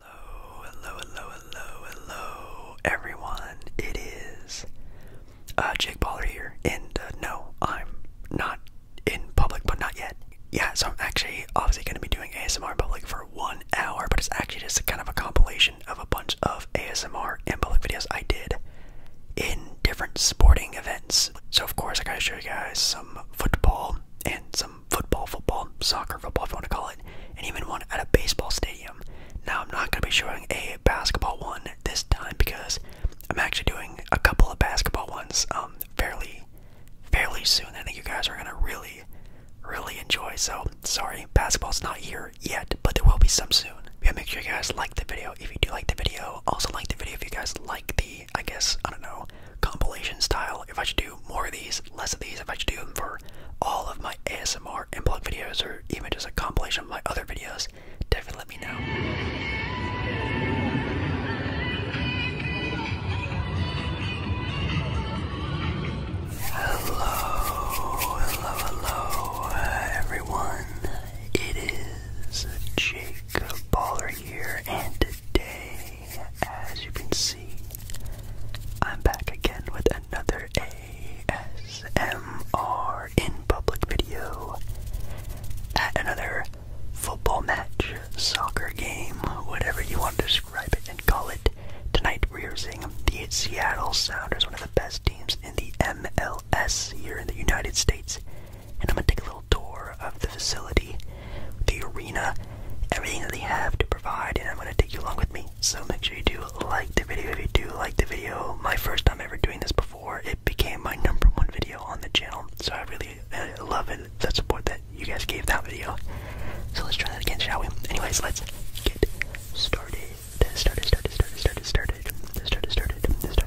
Hello, hello, hello, hello, hello, everyone. It is uh, Jake Baller here, and uh, no, I'm not in public, but not yet. Yeah, so I'm actually obviously going to be doing ASMR in public for one hour, but it's actually just kind of a compilation of a bunch of ASMR in public videos I did in different sporting events. So, of course, I gotta show you guys some football and some football, football, soccer, football, if you want to call it, and even one at a baseball stadium. Now, I'm not going to be showing a basketball one this time because I'm actually doing a couple of basketball ones um, fairly, fairly soon. I think you guys are going to really, really enjoy. So, sorry, basketball's not here yet, but there will be some soon. Yeah, make sure you guys like the video if you do like the video. Also, like the video if you guys like the, I guess, I don't know, compilation style if I should do more of these, less of these, if I should do them for all of my ASMR and blog videos, or even just a compilation of my other videos, definitely let me know. Hello, hello, hello, everyone. It is Jake Baller here, and today as you can see, I'm back again with another ASMR in public video at another football match, soccer game, whatever you want to describe it and call it. Tonight we are seeing the Seattle Sounders, one of the best teams in the MLS here in the United States. And I'm gonna take a little tour of the facility, the arena, everything that they have to provide, and I'm going to take you along with me. So make sure you do like the video if you do like the video. My first time ever doing this before, it became my number one video on the channel. So I really love it, the support that you guys gave that video. So let's try that again, shall we? Anyways, let's get started, started, started, started, started, started, started, started, started, started.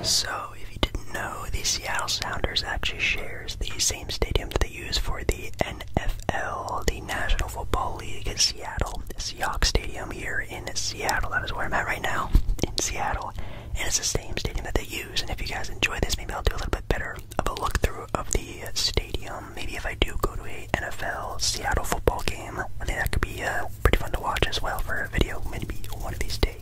So, if you didn't know, the Seattle Sounders actually shares the same stadium that they use for the NFL, the National Football League in Seattle, Seahawks Stadium here here in Seattle. That is where I'm at right now, in Seattle. And it's the same stadium that they use. And if you guys enjoy this, maybe I'll do a little bit better of a look through of the uh, stadium. Maybe if I do go to a NFL Seattle football game, I think that could be uh, pretty fun to watch as well for a video, maybe one of these days.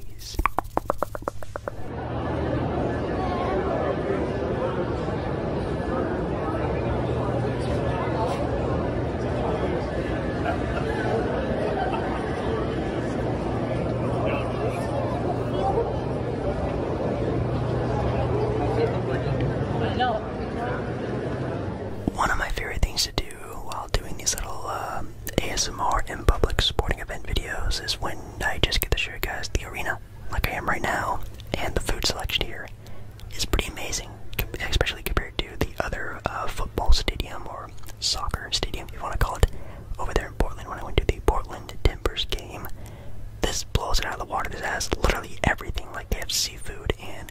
One of my favorite things to do while doing these little um, ASMR in public sporting event videos is when I just get to show you guys the arena, like I am right now, and the food selection here is pretty amazing, especially compared to the other uh, football stadium or soccer stadium, if you want to call it, over there in Portland when I went to the Portland Timbers game. This blows it out of the water. This has literally everything. Like they have seafood and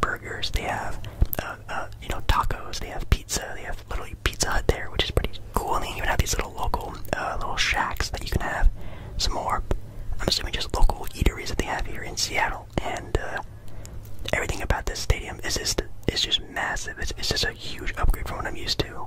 burgers. They have, uh, uh, you know, tacos. They have pizza. They have literally Pizza Hut there, which is pretty cool. And they even have these little local, uh, little shacks that you can have. Some more. I'm assuming just local eateries that they have here in Seattle and uh, everything about this stadium is just is just massive. It's, it's just a huge upgrade from what I'm used to.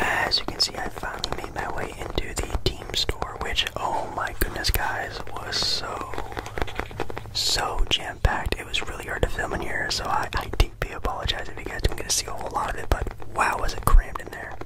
As you can see, I finally made my way into the team store, which, oh my goodness, guys, was so, so jam packed. It was really hard to film in here, so I, I deeply apologize if you guys didn't get to see a whole lot of it, but wow, was it crammed in there.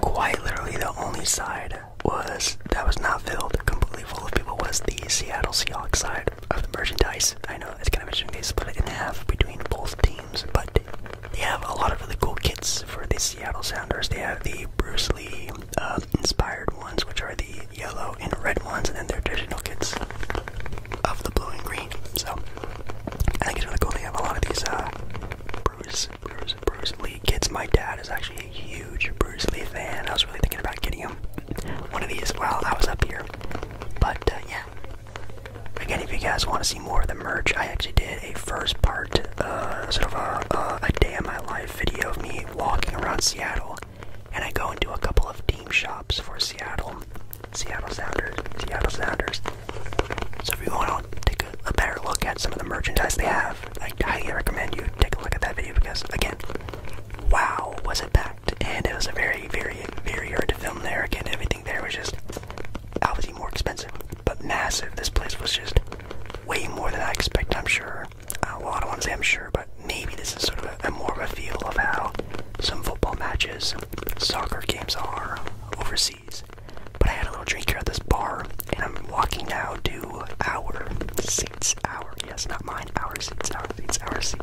Quite literally, the only side was that was not filled completely full of people was the Seattle Seahawks side of the merchandise. I know it's kind of interesting they split it in half between both teams, but they have a lot of really cool kits for the Seattle Sounders. They have the Bruce Lee uh, inspired ones, which are the yellow and red ones, and then their digital kits of the blue and green. So I think it's really cool. They have a lot of these uh, Bruce, Bruce, Bruce Lee kits. My dad is actually a huge Bruce Lee fan. I was really thinking about getting him one of these while I was up here. But uh, yeah. Again, if you guys want to see more of the merch, I actually did a first part, uh, sort of a, a, a day in my life video of me walking around Seattle, and I go into a couple of team shops for Seattle, Seattle Sounders, Seattle Sounders. So if you want to take a, a better look at some of the merchandise they have, I highly recommend you take a look at that video because, again, wow, was it packed, and it was a very, very, very hard to film there. Again, everything there was just obviously more expensive, but massive. This place was just way more than I expected, I'm sure. A lot of ones, I'm sure, but maybe this is sort of a, a more of a feel of how some football matches, soccer games are overseas. But I had a little drink here at this bar, and I'm walking now to our seats. Our, yes, not mine, our seats, our seats, our seats.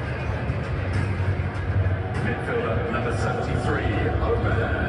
Midfielder number 73, Obed.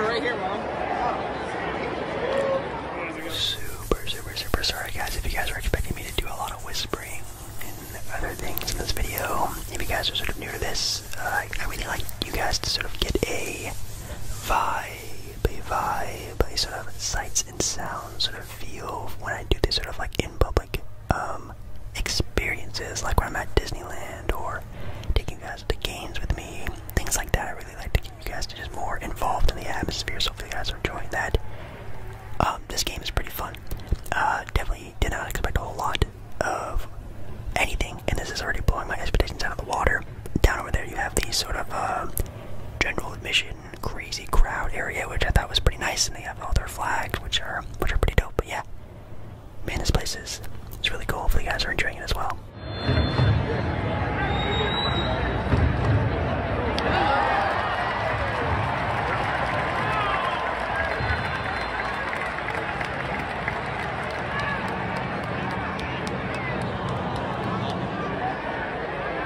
Right here, Mom. Super, super, super sorry, guys, if you guys were expecting me to do a lot of whispering and other things in this video. If you guys are sort of new to this, uh, I really like you guys to sort of get a vibe, a vibe, a sort of sights and sounds sort of feel when I do these sort of like in public um, experiences, like when I'm at Disneyland or taking guys to games with me, things like that. I really like to get you guys to just more involved in the atmosphere, so hopefully you guys are enjoying that. Um, this game is pretty fun. Uh, definitely did not expect a whole lot of anything, and this is already blowing my expectations out of the water. Down over there, you have these sort of uh, general admission crazy crowd area, which I thought was pretty nice, and they have all their flags, which are which are pretty dope. But yeah, man, this place is it's really cool. Hopefully, you guys are enjoying it as well.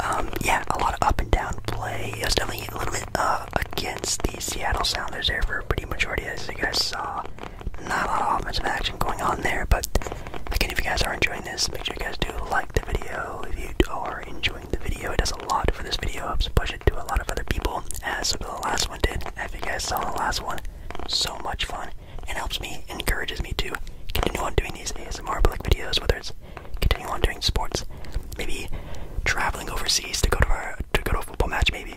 Um, yeah, a lot of up and down play. It was definitely a little bit uh, against the Seattle Sounders there for a pretty majority, as you guys saw. Not a lot of offensive action going on there, but again, if you guys are enjoying this, make sure you guys do like the video. If you are enjoying the video, it does a lot for this video, helps push it to a lot of other people, as the last one did. If you guys saw the last one, so much fun and helps me, encourages me to continue on doing these ASMR public videos, whether it's continuing on doing sports, maybe traveling overseas to go to our, to go to a football match, maybe.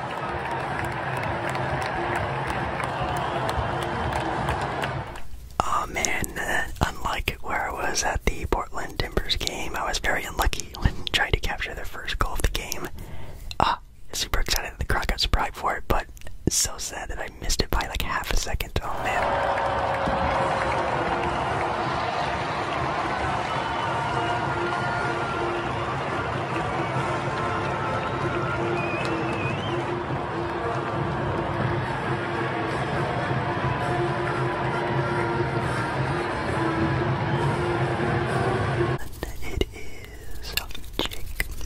Oh man, uh, unlike where I was at the Portland Timbers game, I was very unlucky when trying to capture the first goal of the game. Ah, super excited that the crowd got surprised for it, but so sad that I missed it by like half a second. Oh man. It is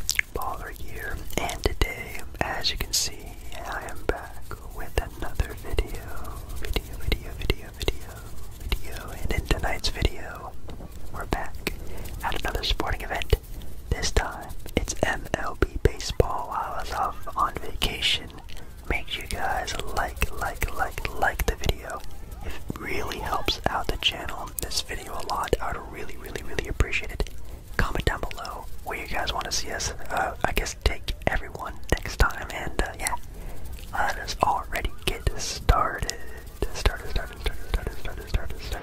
Jake Baller here, and today, as you can see, I am back with another video, video, video, video, video, and in tonight's video, we're back at another sporting event. This time, it's MLB baseball while I was off on vacation. Make sure you guys like, like, like, like the video. It really helps out the channel, this video a lot. I would really, really, really appreciate it. Comment down below where you guys want to see us. Uh, I guess take everyone next time, and uh, yeah, let us already get started started, started, started, started, started, started, started.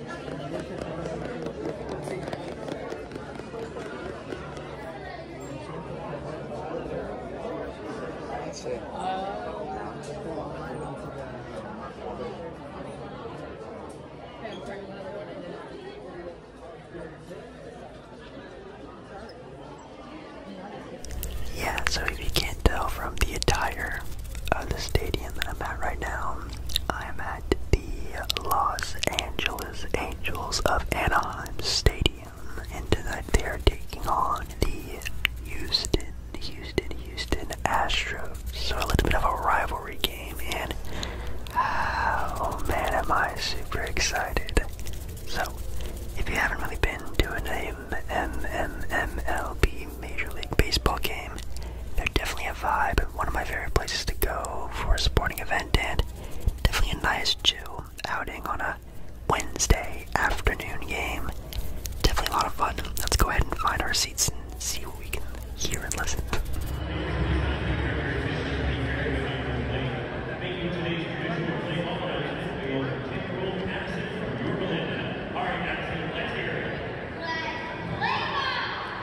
That's Yeah, so if you can't tell from the attire of the stadium that I'm at right now, I'm at the Los Angeles Angels of Anaheim Stadium, and tonight they are taking on the Houston, Houston, Houston Astros. So a little bit of a rivalry game, and oh man, am I super excited! So, if you haven't really been to an MLB Major League Baseball game, they're definitely a vibe one of my favorite places to go for a sporting event, and definitely a nice chill outing on a Wednesday afternoon game. Definitely a lot of fun. Let's go ahead and find our seats and see what we can hear and listen.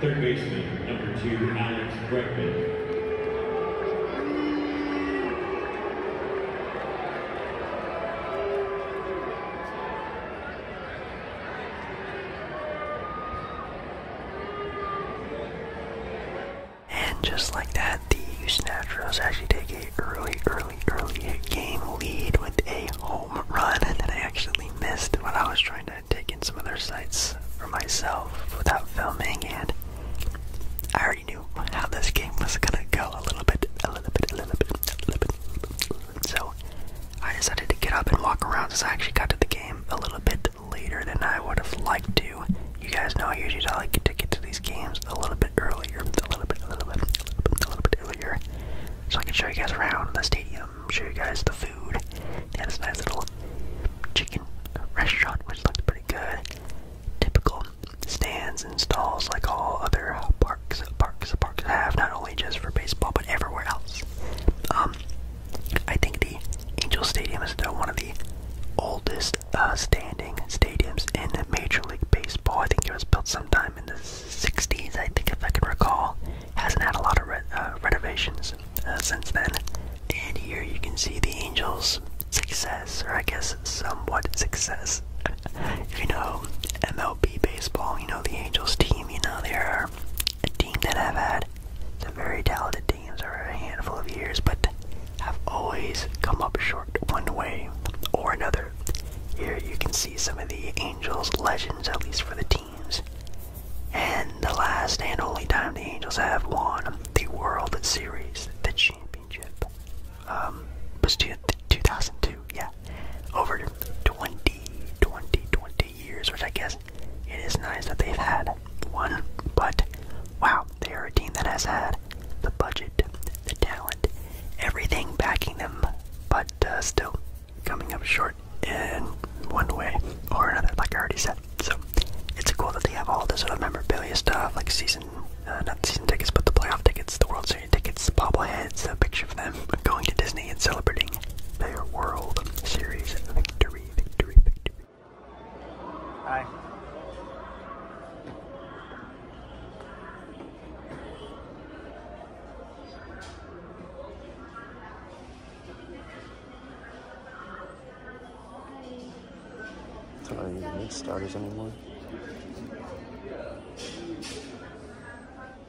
Third baseman, number two, Alex Bregman. And just like that, the Houston Astros actually take a early, early, early game lead with a home run that I actually missed when I was trying to take in some other sites for myself without filming, and I already knew how this game was gonna go a little bit, a little bit, a little bit, a little bit. A little bit, a little bit. So I decided to get up and walk around since I actually got to the game a little bit later than I would have liked to. You guys know I usually like to get to these games a little bit earlier, a little bit, a little bit, a little bit, earlier, so I can show you guys around the stadium, show you guys the food. They had this nice little chicken restaurant which looked pretty good. Typical stands and stalls like all other parks, parks, parks have, not only just for baseball but everywhere else. Um, um, I think the Angel Stadium is one of the oldest uh, standing stadiums in Major League Baseball. I think it was built sometime in the 60s, I think, if I can recall. Hasn't had a lot of uh, renovations uh, since then. And here you can see the Angels' success, or I guess somewhat success. you know, MLB baseball, you know, the Angels team, you know, they're a team that I've had some very talented teams over a handful of years, but have always come up short one way or another. Here you can see some of the Angels legends, at least for the teams. And the last and only time the Angels have won the World Series, the championship, um, was 2002, yeah, over 20, 20, 20, years, which I guess it is nice that they've had one. But wow, they are a team that has had the budget, the talent, everything backing them, but uh, still coming up short in one way or another, like I already said. So it's cool that they have all this sort of memorabilia stuff, like season, uh, not season tickets, but the playoff tickets, the World Series tickets, the bobbleheads, a picture of them going to Disney and celebrating winning their World Series victory, victory, victory. Hi. don't need starters anymore.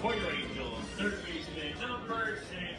Pointer Angel, third baseman, number six.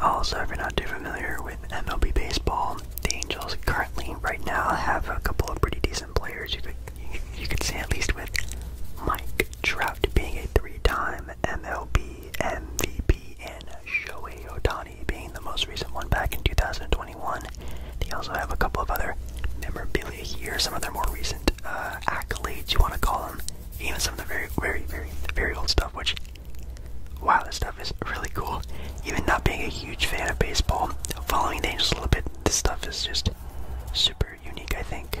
Also, if you're not too familiar with MLB baseball, the Angels currently, right now, have a couple of pretty decent players. You could, you, could say at least with Mike Trout being a three-time MLB MVP and Shohei Otani being the most recent one back in 2021. They also have a couple of other memorabilia here some of their more recent uh, accolades, you want to call them, even some of the very, very, very, very old stuff, which, wow, this stuff is really cool. Even not being a huge fan of baseball, following the Angels a little bit, this stuff is just super unique, I think.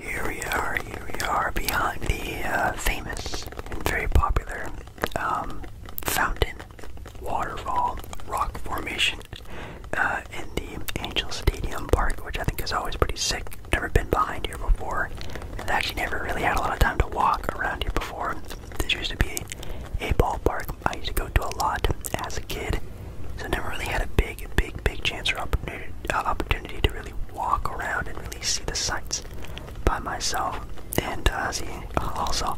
Here we are, here we are, behind the uh, famous and very popular um, fountain, waterfall, rock formation uh, in the Angel Stadium Park, which I think is always pretty sick never been behind here before. And actually never really had a lot of time to walk around here before. This used to be a ballpark I used to go to a lot as a kid. So never really had a big, big, big chance or uh, opportunity, to really walk around and really see the sights by myself. And uh, also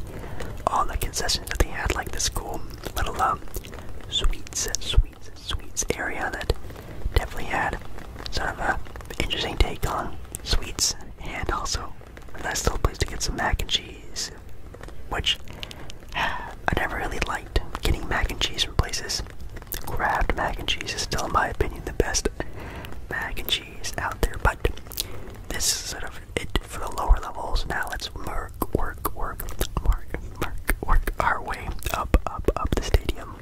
all the concessions that they had, like the school, let alone um, sweets, sweets, sweets area that definitely had sort of a interesting take on sweets, and also a nice little place to get some mac and cheese, which I never really liked getting mac and cheese from places. Kraft mac and cheese is still, in my opinion, the best mac and cheese out there, but this is sort of it for the lower levels. Now let's work, work, work, work, work, work our way up, up, up the stadium.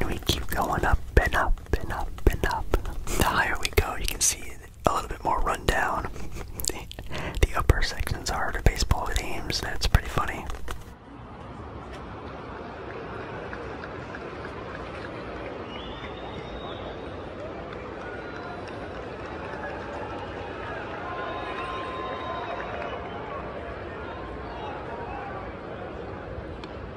and we keep going up and up and up and up. The higher we go, you can see a little bit more rundown. the, upper sections are the baseball games. That's pretty funny.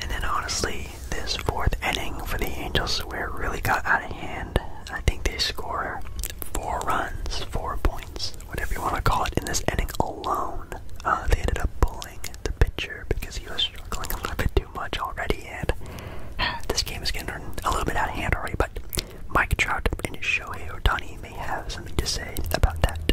And then honestly, this fourth inning for the Angels where it really got out of hand. I think they score four runs, four points, whatever you want to call it, in this inning alone. Uh, they ended up pulling the pitcher because he was struggling a little bit too much already, and this game is getting a little bit out of hand already. But Mike Trout and Shohei Otani may have something to say about that.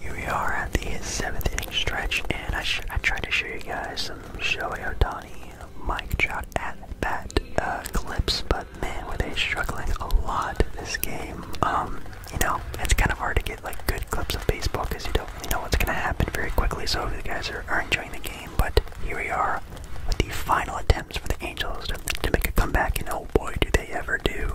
Here we are at the seventh inning stretch, and I, sh I tried to show you guys some Shohei Otani mic drop not as uh, clips, but man, were they struggling a lot this game. Um, you know, it's kind of hard to get like good clips of baseball because you don't really know what's going to happen very quickly. So if you guys are, enjoying the game, but here we are with the final attempts for the Angels to, make a comeback, and oh boy, do they ever do!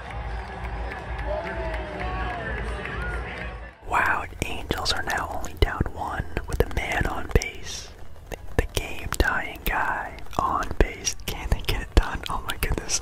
Wow, Angels are now only down one with a man on base. The, game dying guy on base. Can they get it done? Oh my goodness.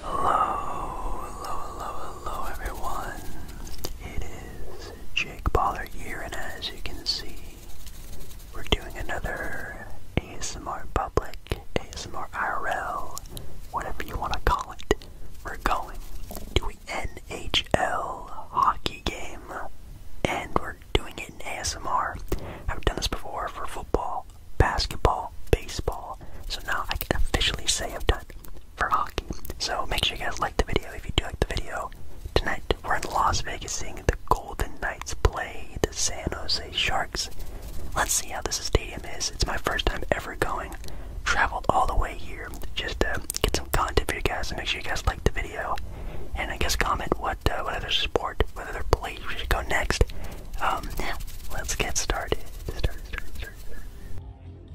Hello, hello, hello, hello everyone. It is Jake Baller here, and as you can see, we're doing another ASMR public, ASMR IRL, whatever you want to call it. We're going to an NHL hockey game, and we're doing it in ASMR. I've done this before for football, basketball, baseball, so now I can officially say I've done for hockey. So make sure you guys like the video if you do like the video. Tonight we're in Las Vegas seeing the Golden Knights play the San Jose Sharks. Let's see how this stadium is. It's my first time ever going. Traveled all the way here just to get some content for you guys. So make sure you guys like the video, and I guess comment what uh, what other sport, what other place we should go next. Um, let's get started.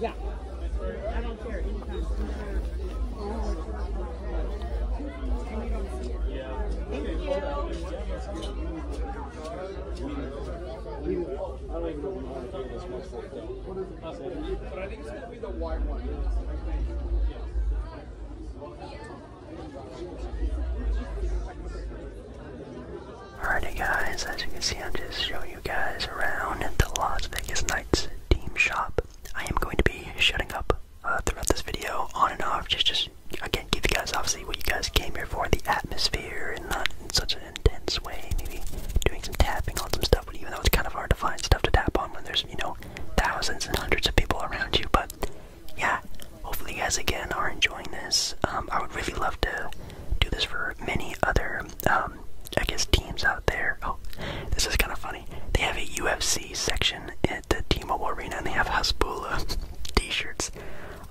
Yeah. I don't Thank you. even know how to do this much for But Alrighty guys, as you can see I'm just showing you guys around at the Las Vegas Knights team shop. I am going to be shutting up uh, throughout this video on and off, just just again give you guys obviously what you guys came here for, the atmosphere and not in such an intense way, maybe doing some tapping on some stuff even though it's kind of hard to find stuff to tap on when there's, you know, thousands and hundreds of people around you. But yeah, hopefully you guys again are enjoying this. Um, I would really love to do this for many other, um, I guess, teams out there. Oh, this is kind of funny. They have a UFC section at the T-Mobile Arena, and they have Hasbula t-shirts.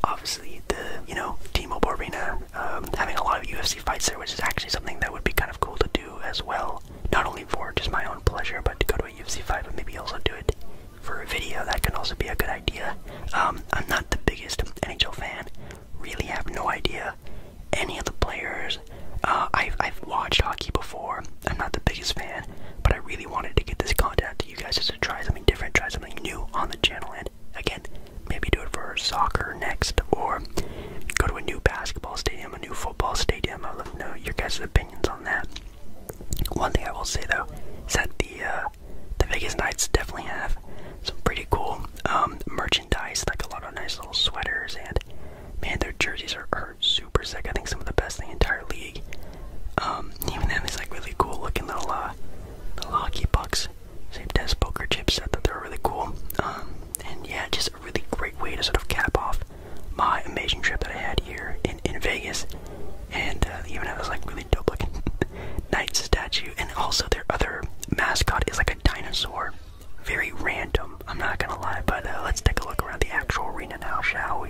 Obviously, the, you know, T-Mobile Arena um, having a lot of UFC fights there, which is actually something that would be kind of cool to do as well, not only for just my own pleasure, but to go to a UFC fight, but maybe also do it for a video. That can also be a good idea. Um, I'm not the biggest NHL fan. Really have no idea any of the players. Uh, I've I've watched hockey before. I'm not the biggest fan, but I really wanted to get this content out to you guys just to try something different, try something new on the channel, and again, maybe do it for soccer next or go to a new basketball stadium, a new football stadium. I'd love to know your guys' opinions on that. One thing I will say though is that the uh, the Vegas Knights definitely have some pretty cool um, merchandise, like a lot of nice little sweaters, and man, their jerseys are, super sick. I think some of the best in the entire league. Um, even then, these like really cool looking little uh, little hockey pucks. Same as poker chips. I thought they are really cool. Um, and yeah, just a really great way to sort of cap off my amazing trip that I had here in in Vegas. And they uh, even have this like really dope looking knight statue, and also their other mascot is like a dinosaur. Very random, I'm not gonna lie. But uh, let's take a look around the actual arena now, shall we?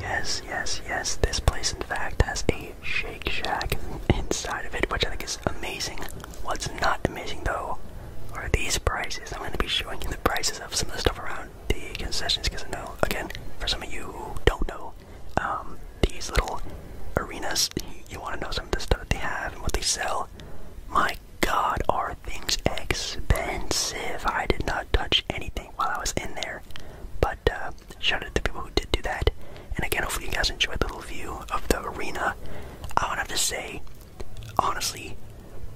Yes, yes, yes, this place in fact has a Shake Shack inside of it, which I think is amazing. What's not amazing though are these prices. I'm going to be showing you the prices of some of the stuff around the concessions because I know, again, for some of you who don't know, um, these little arenas, you, want to know some of the stuff that they have and what they sell. My god, are things expensive! I did not touch anything while I was in there, but uh, shout out to the people who did do that. And again, hopefully, you guys enjoyed the little view of the arena. I would have to say, honestly,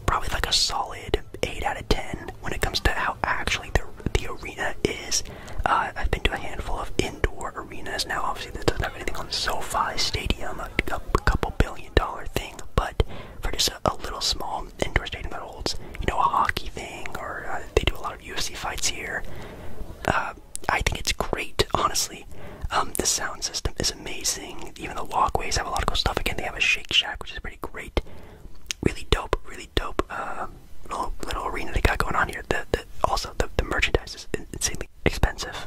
probably like a solid 8 out of 10 when it comes to how actually the, the arena is. Uh, I've been to a handful of indoor arenas. Now, obviously, this doesn't have anything on SoFi Stadium, a, couple billion dollar thing, but for just a, little small indoor stadium that holds, you know, a hockey thing, or uh, they do a lot of UFC fights here. Uh, I think it's great, honestly. Um, the sound system is amazing. Even the walkways have a lot of cool stuff. Again, they have a Shake Shack, which is pretty great. Really dope, really dope uh, little little arena they got going on here. The, the also the, the merchandise is insanely expensive.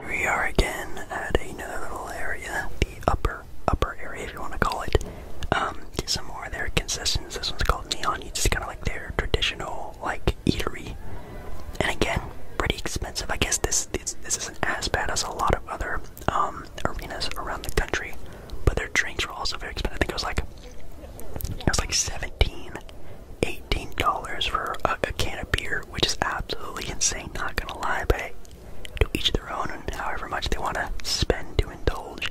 We are again at another little area, the upper, upper area if you want to call it. Um, some more of their concessions. This one's called Neon. It's kind of like their traditional like eatery, and again, pretty expensive. I guess this this, this isn't as bad as a lot of other um, arenas around the country, but their drinks were also very expensive. I think it was like it was like 17 18 dollars for a, can of beer, which is absolutely insane. Not gonna lie, but. Hey, to each their own and however much they want to spend to indulge.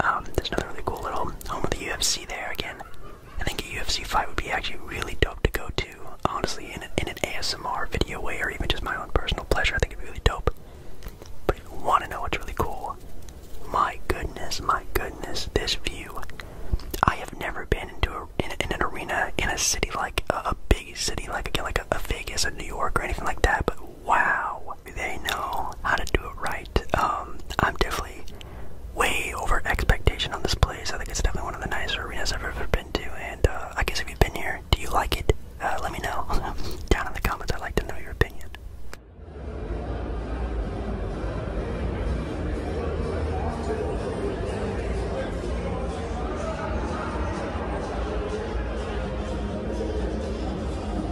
Um, there's another really cool little home of the UFC there again. I think a UFC fight would be actually really dope to go to, honestly, in an, ASMR video way or even just my own personal pleasure. I think it'd be really dope. But you want to know what's really cool, my goodness, my goodness, this view. I have never been into a, in, an arena in a city like a, big city like again like a, Vegas or New York or anything like that, but wow, they know how to do it right. Um, I'm definitely way over expectation on this place. I think it's definitely one of the nicest arenas I've ever been to. And uh, I guess if you've been here, do you like it? Uh, let me know down in the comments. I'd like to know your opinion.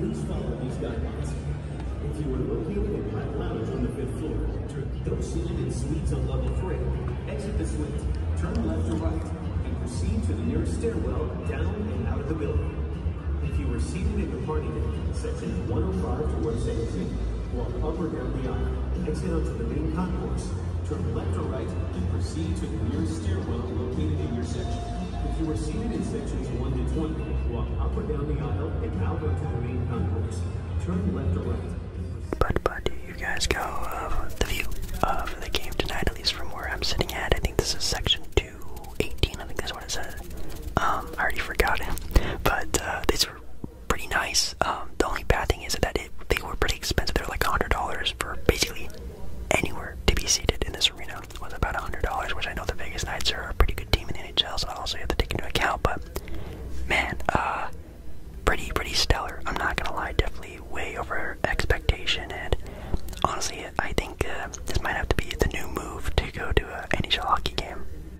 Please follow these guidelines. If you are located in Hot Lounge on the fifth floor, turn those seated in suites on level three, exit the suite, turn left or right, and proceed to the nearest stairwell down and out of the building. If you are seated in your party deck, 105 to 117, walk up or down the aisle, exit onto the main concourse, turn left or right, and proceed to the nearest stairwell located in your section. If you are seated in sections 1 to 20, walk up or down the aisle and out onto the main concourse, turn left or right. But, but, you guys go of the view of the game tonight, at least from where I'm sitting at? I think this is section 218, I think that's um, I already forgot it, but uh, these were pretty nice. Um, the only bad thing is that they were pretty expensive. They were like $100 for basically anywhere to be seated in this arena was about $100, which I know the Vegas Knights are a pretty good team in the NHL, so I also have to take into account. But man, uh, pretty pretty stellar. I'm not gonna lie, definitely way over expectation. And honestly, I think uh, this might have to be the new move to go to an NHL hockey game.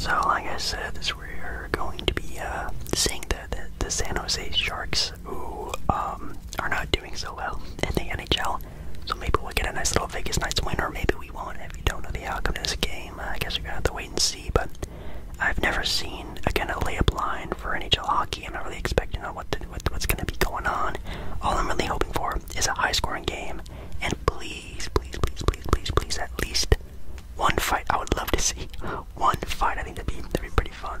So, like I said, this we're going to be uh, seeing the, the San Jose Sharks, who um, are not doing so well in the NHL. So maybe we'll get a nice little Vegas nights win, or maybe we won't. If you don't know the outcome of this game, I guess we're gonna have to wait and see. But I've never seen again a layup line for NHL hockey. I'm not really expecting on what what's gonna be going on. All I'm really hoping for is a high-scoring game, and please, please, please, please, please, please, at least one fight. I would love to see one fight. I think that'd be that'd be pretty fun.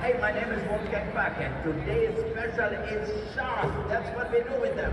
Hey, my name is Wolfgang Bach, and today's special is sharp. That's what we do with them.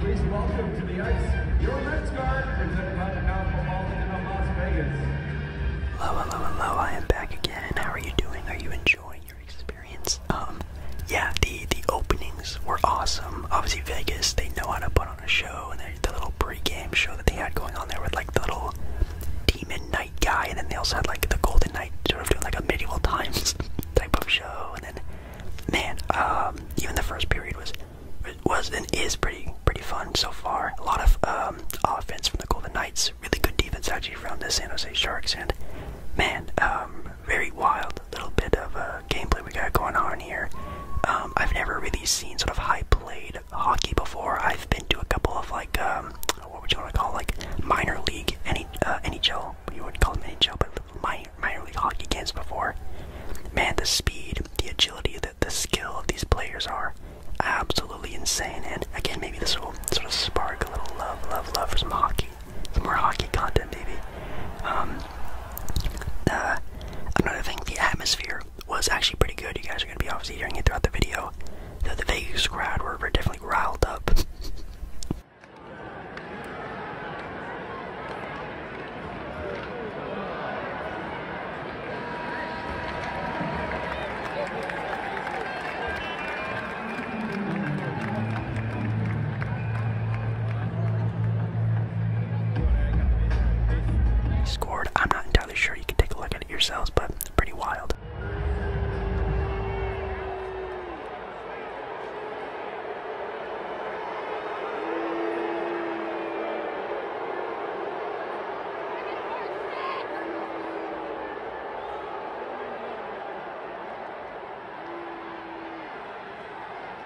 Please welcome to the ice your Reds guard, presented by the Powerful Baltic Las Vegas. Hello, hello, hello! I am back again. How are you doing? Are you enjoying your experience? Um, yeah, the the openings were awesome. Obviously, Vegas—they know how to put out on a show, and the, the little pre-game show that they had going on there with like the little demon knight guy, and then they also had like the golden knight sort of doing like a medieval times type of show, and then man, um, even the first period was was and is pretty pretty fun so far. A lot of um, offense from the Golden Knights, really good defense actually from the San Jose Sharks, and man, um, very wild little bit of uh, gameplay we got going on here. Um, I've never really seen sort of high played hockey before. I've been to a couple of like um, what would you want to call like minor league any uh, NHL. You wouldn't call them NHL, but minor league hockey games before. Man, the speed, the agility, the the skill of these players are absolutely insane. And again, maybe this will sort of spark a little love, love, love for some hockey, some more hockey content, maybe. Um, uh, another thing, the atmosphere was actually pretty good. You guys are going to be obviously hearing it throughout the video. Though the Vegas crowd were, were definitely riled up. Scored. I'm not entirely sure. You can take a look at it yourselves, but pretty wild.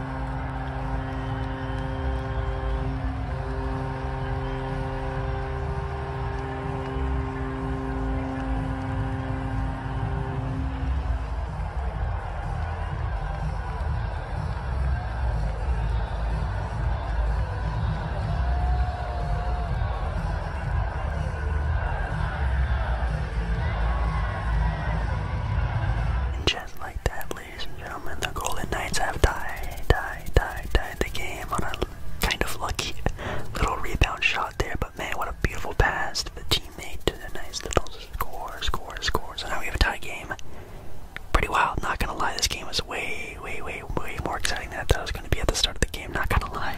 And just like that, ladies and gentlemen, the Golden Knights have tied, tied, tied, tied the game on a kind of lucky little rebound shot there. But man, what a beautiful pass to the teammate to the nice little score, score, score. So now we have a tie game. Pretty wild, not gonna lie. This game was way, way, way, way more exciting than I thought it was gonna be at the start of the game. Not gonna lie.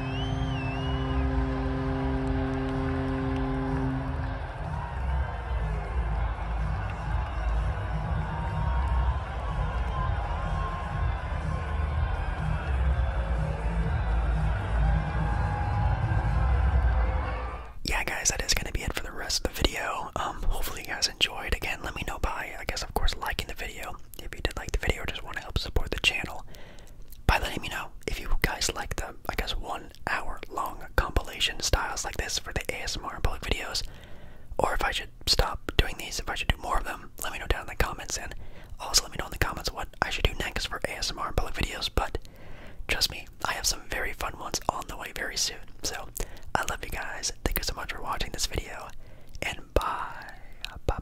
Yeah, guys, that is going to be it for the rest of the video. Um, hopefully, you guys enjoyed. Again, let me know by, I guess, of course, liking the video. If you did like the video just want to help support the channel, by letting me know if you guys like the, I guess, one hour long compilation styles like this for the ASMR and public videos, or if I should stop doing these, if I should do more of them, let me know down in the comments, and also let me know in the comments what I should do next for ASMR and public videos, but trust me, I have some very fun ones on the way very soon, so I love you guys, thank you so much for watching this video, and bye, bye.